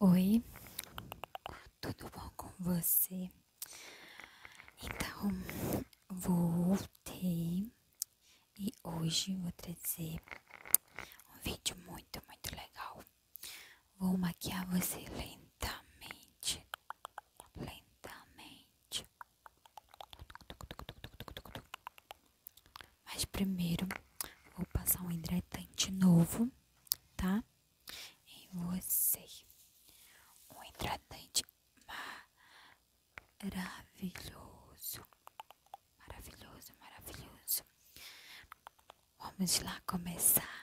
Oi, tudo bom com você? Então, voltei e hoje vou trazer um vídeo muito, muito legal. Vou maquiar você lentamente, lentamente. Mas primeiro vou passar um hidratante novo tá? Em você. Um hidratante maravilhoso. Maravilhoso, maravilhoso. Vamos lá começar.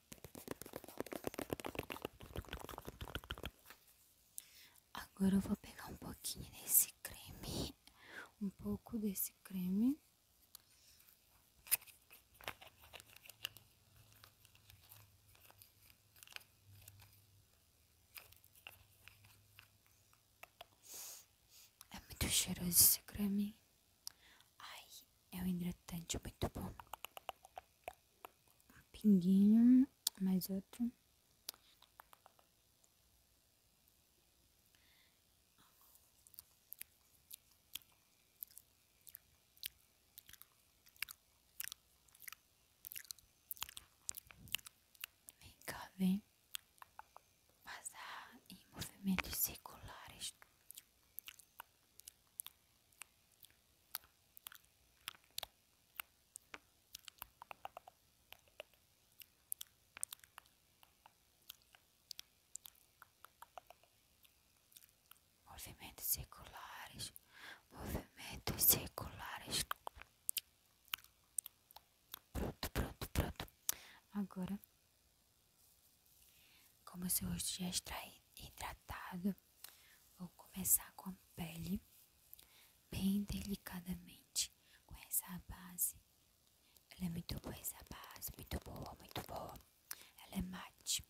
Agora eu vou pegar um pouquinho desse creme, um pouco desse creme. É muito cheiroso esse creme. Ai, é um hidratante muito bom pinguinho, mais outro. Vem cá, vem passar em movimentos circulares. Movimentos circulares, movimentos circulares. Pronto, pronto, pronto. Agora como seu rosto já está hidratado, vou começar com a pele, bem delicadamente, com essa base. Ela é muito boa, essa base, muito boa, muito boa. Ela é mate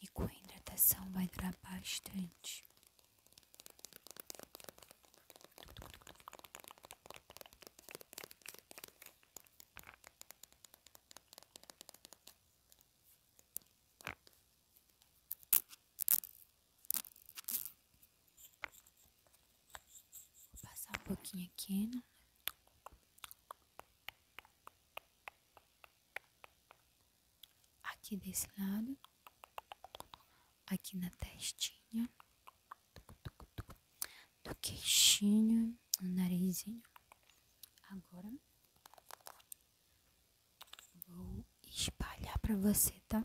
e com a hidratação vai durar bastante passar um pouquinho aqui, né? Aqui desse lado, aqui na testinha, do queixinho, do narizinho. Agora vou espalhar para você, tá?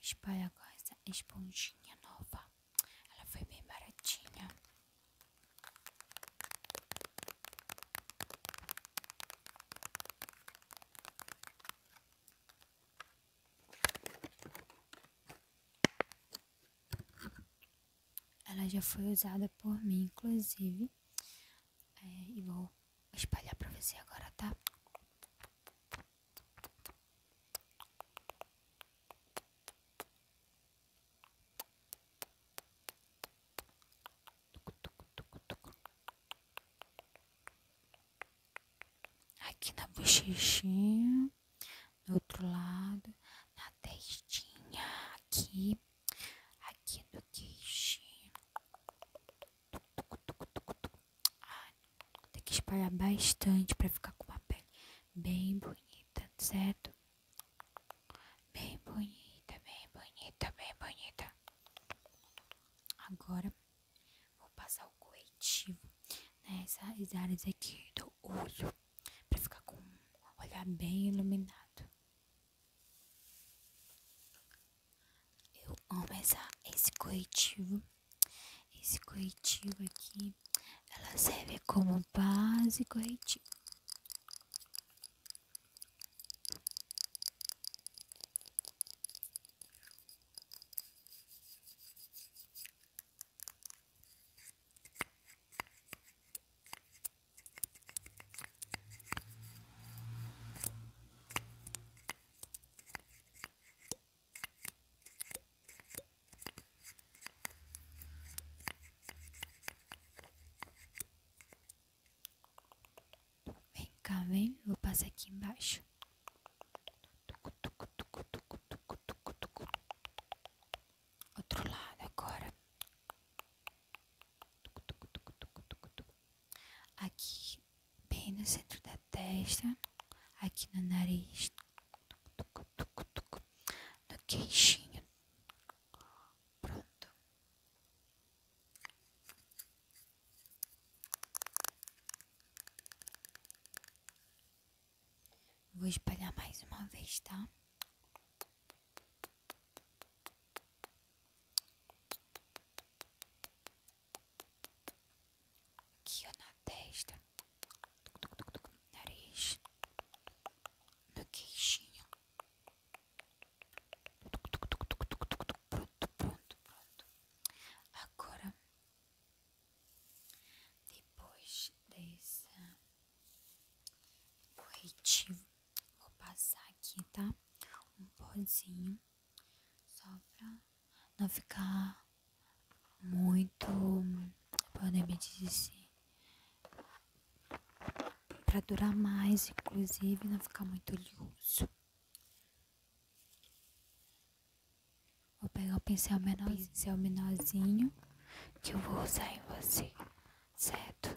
Espalha com essa esponjinha nova. Ela foi bem baratinha. Ela já foi usada por mim, inclusive. É, e vou espalhar pra você agora, tá? Aqui na bochechinha do outro lado, na testinha, aqui, aqui no queixinho. Ah, tem que espalhar bastante para ficar com uma pele bem bonita, certo? Bem bonita, bem bonita, bem bonita. Agora vou passar o corretivo nessas áreas aqui do olho para ficar com um olhar bem iluminado. Eu amo essa, esse corretivo. Esse corretivo aqui, ela serve como base corretivo. Vem cá, vem, vou passar aqui embaixo. Outro lado agora. Aqui bem no centro da testa, aqui no nariz, no queixinho. Pronto. Vou espalhar mais uma vez, tá? Aqui ó, na testa, nariz, no queixinho. Pronto, pronto, pronto. Agora depois desse corretivo, vou passar aqui, tá? Um pozinho, só pra não ficar muito, podemos dizer, pra durar mais, inclusive, não ficar muito liso. Vou pegar o pincel, menor, pincel menorzinho que eu vou usar em você, certo?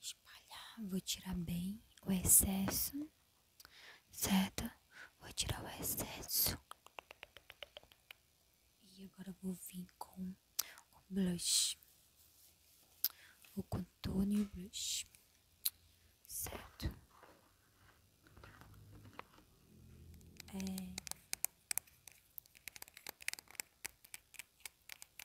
Espalhar, vou tirar bem o excesso, certo? Vou tirar o excesso. E agora vou vir com o blush. O contorno e blush. Certo? É...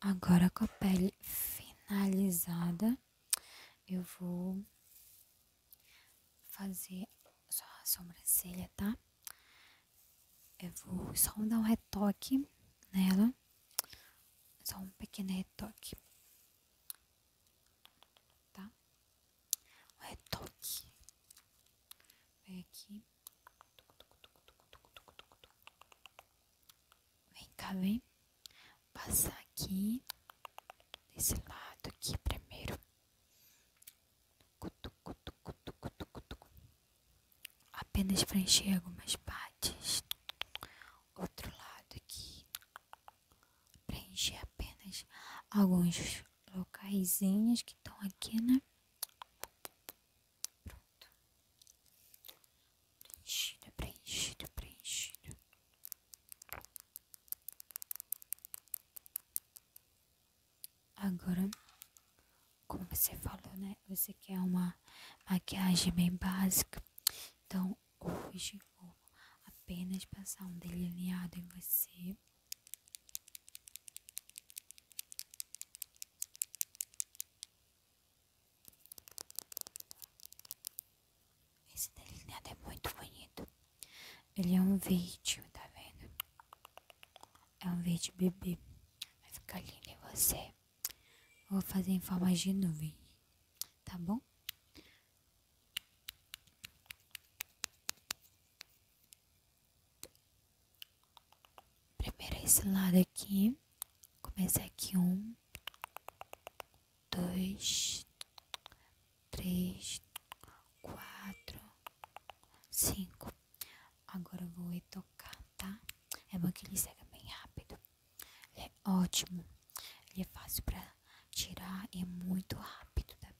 Agora com a pele finalizada, eu vou fazer só a sobrancelha, tá? Eu vou só dar um retoque nela, só um pequeno retoque, tá? O retoque. Vem aqui. Vem cá, vem. Passar aqui. Desse lado aqui primeiro. Cutucu, tucu, tucu, tucu, tucu. Apenas preencher algumas partes. Outro lado aqui. Preencher apenas alguns locaisinhos que estão aqui, né? Pronto. Preenchido, é preenchido, é preenchido. Agora, como você falou, né? Você quer uma maquiagem bem básica. Então, hoje vou apenas passar um delineado em você. Esse delineado é muito bonito. Ele é um verde, tá vendo? É um verde bebê. Vai ficar lindo em você. Vou fazer em forma de nuvem, tá bom? Primeiro é esse lado aqui. Começa aqui um, dois, três, quatro, cinco. Agora eu vou tocar tá? É bom que ele segue bem rápido. Ele é ótimo. Ele é fácil pra tirar e é muito rápido tá?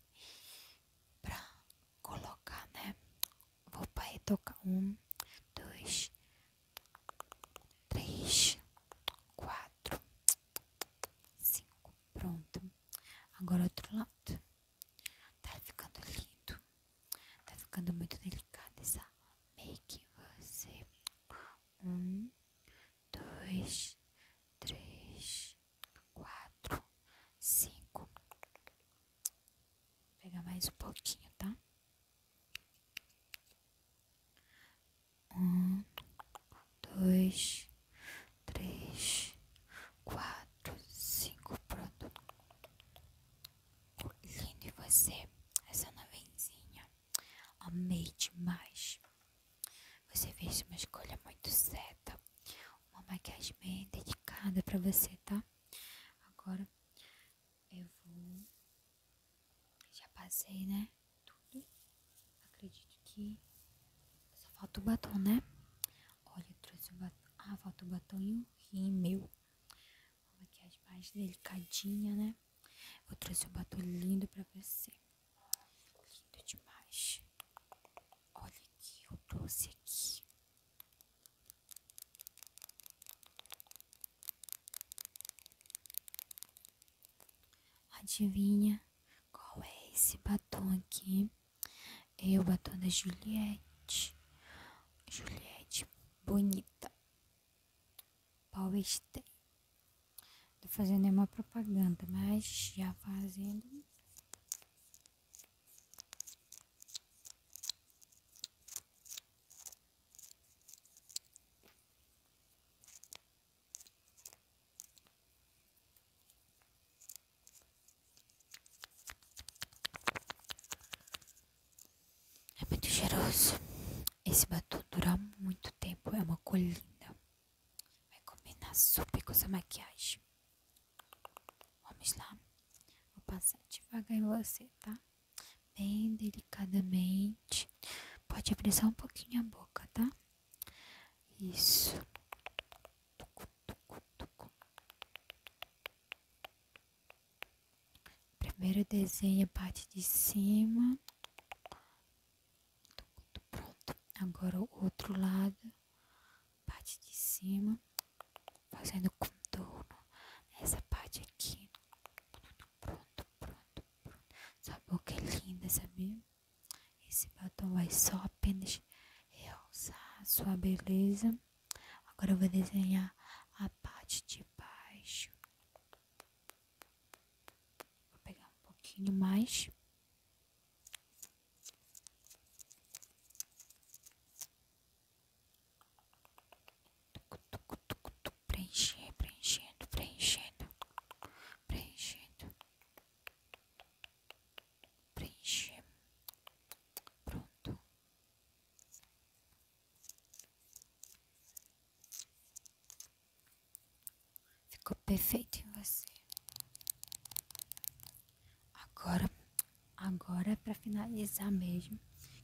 colocar, né? Vou para tocar um, dois, três, quatro, cinco. Pronto. Agora outro lado. Tá ficando lindo. Tá ficando muito delicado essa make. Você um, dois, três, quatro, cinco. Vou pegar mais um pouquinho, tá? Um, dois, três, quatro, cinco, pronto. Lindo, e você? Essa nuvenzinha. Amei demais. Você fez uma escolha muito certa. Uma maquiagem bem dedicada pra você, tá? Agora eu vou. Já passei, né? Tudo. Acredito que. Só falta o batom, né? Olha, eu trouxe o batom. Ah, falta o batominho e meu rímel. Uma maquiagem mais delicadinha, né? Eu trouxe o batom lindo pra você. Lindo demais. Olha que eu trouxe aqui. Adivinha qual é esse batom aqui? É o batom da Juliette. Juliette bonita. Paulistei. Tô fazendo uma propaganda, mas já fazendo é muito cheiroso. Esse batu dura muito tempo, é uma colina. Vai combinar super com essa maquiagem. Vamos lá. Vou passar devagar em você, tá? Bem delicadamente. Pode abrir um pouquinho a boca, tá? Isso. Primeiro desenha a parte de cima. Pronto. Agora o outro lado parte de cima, fazendo contorno essa parte aqui. Pronto, pronto, pronto. Sua boca é linda, sabia? Esse batom vai só apenas realçar sua beleza. Agora vou desenhar a parte de baixo. Vou pegar um pouquinho mais. Preencher, preenchendo, preenchendo, preenchendo, preencher, pronto. Ficou perfeito em você. Agora, agora é para finalizar mesmo,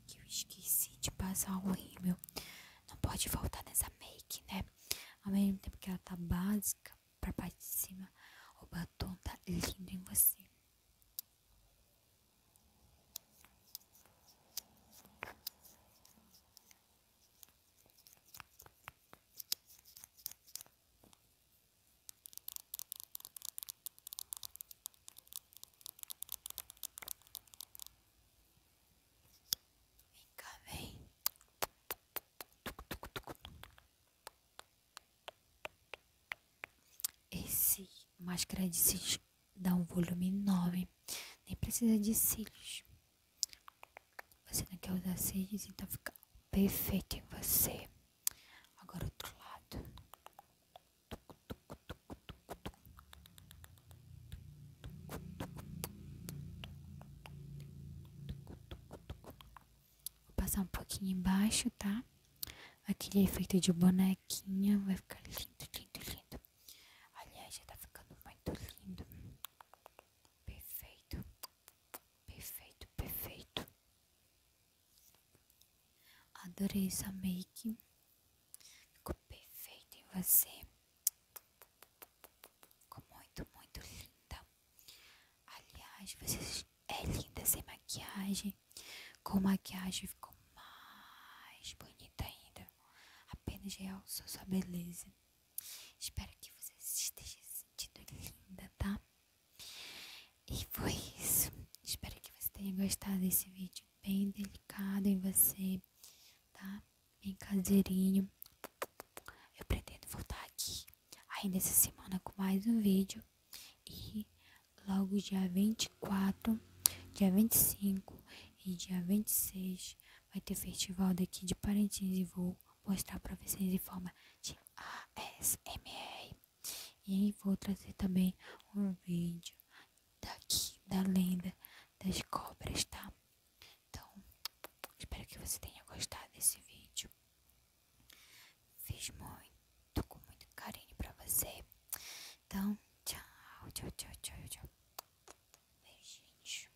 que eu esqueci de passar o rímel. Não pode faltar nessa make, né? Ao mesmo tempo que ela tá básica pra parte de cima, o batom tá lindo em você. Vem cá, vem. Esse máscara de cílios dá um volume enorme. Nem precisa de cílios. Você não quer usar cílios, então fica perfeito em você. Agora outro lado. Vou passar um pouquinho embaixo, tá? Aquele efeito de bonequinha vai ficar lindo, lindo, lindo. Aliás, já tá ficando muito lindo. Perfeito. Perfeito, perfeito. Adorei essa make. Ficou perfeito em você. Ficou muito, muito linda. Aliás, você é linda sem maquiagem. Com maquiagem ficou mais bonita ainda. Apenas realçou sua beleza. Espero que você esteja assim sentido linda, tá? E foi isso. Espero que você tenha gostado desse vídeo bem delicado em você, tá? Bem caseirinho. Eu pretendo voltar aqui ainda essa semana com mais um vídeo. E logo dia 24, dia 25 e dia 26 vai ter festival daqui de Parintins e vou mostrar para vocês em forma de ASMR. E vou trazer também um vídeo daqui da lenda das cobras, tá? Então, espero que você tenha gostado desse vídeo. Fiz muito, com muito carinho para você. Então, tchau, tchau, tchau, tchau, tchau. beijinhos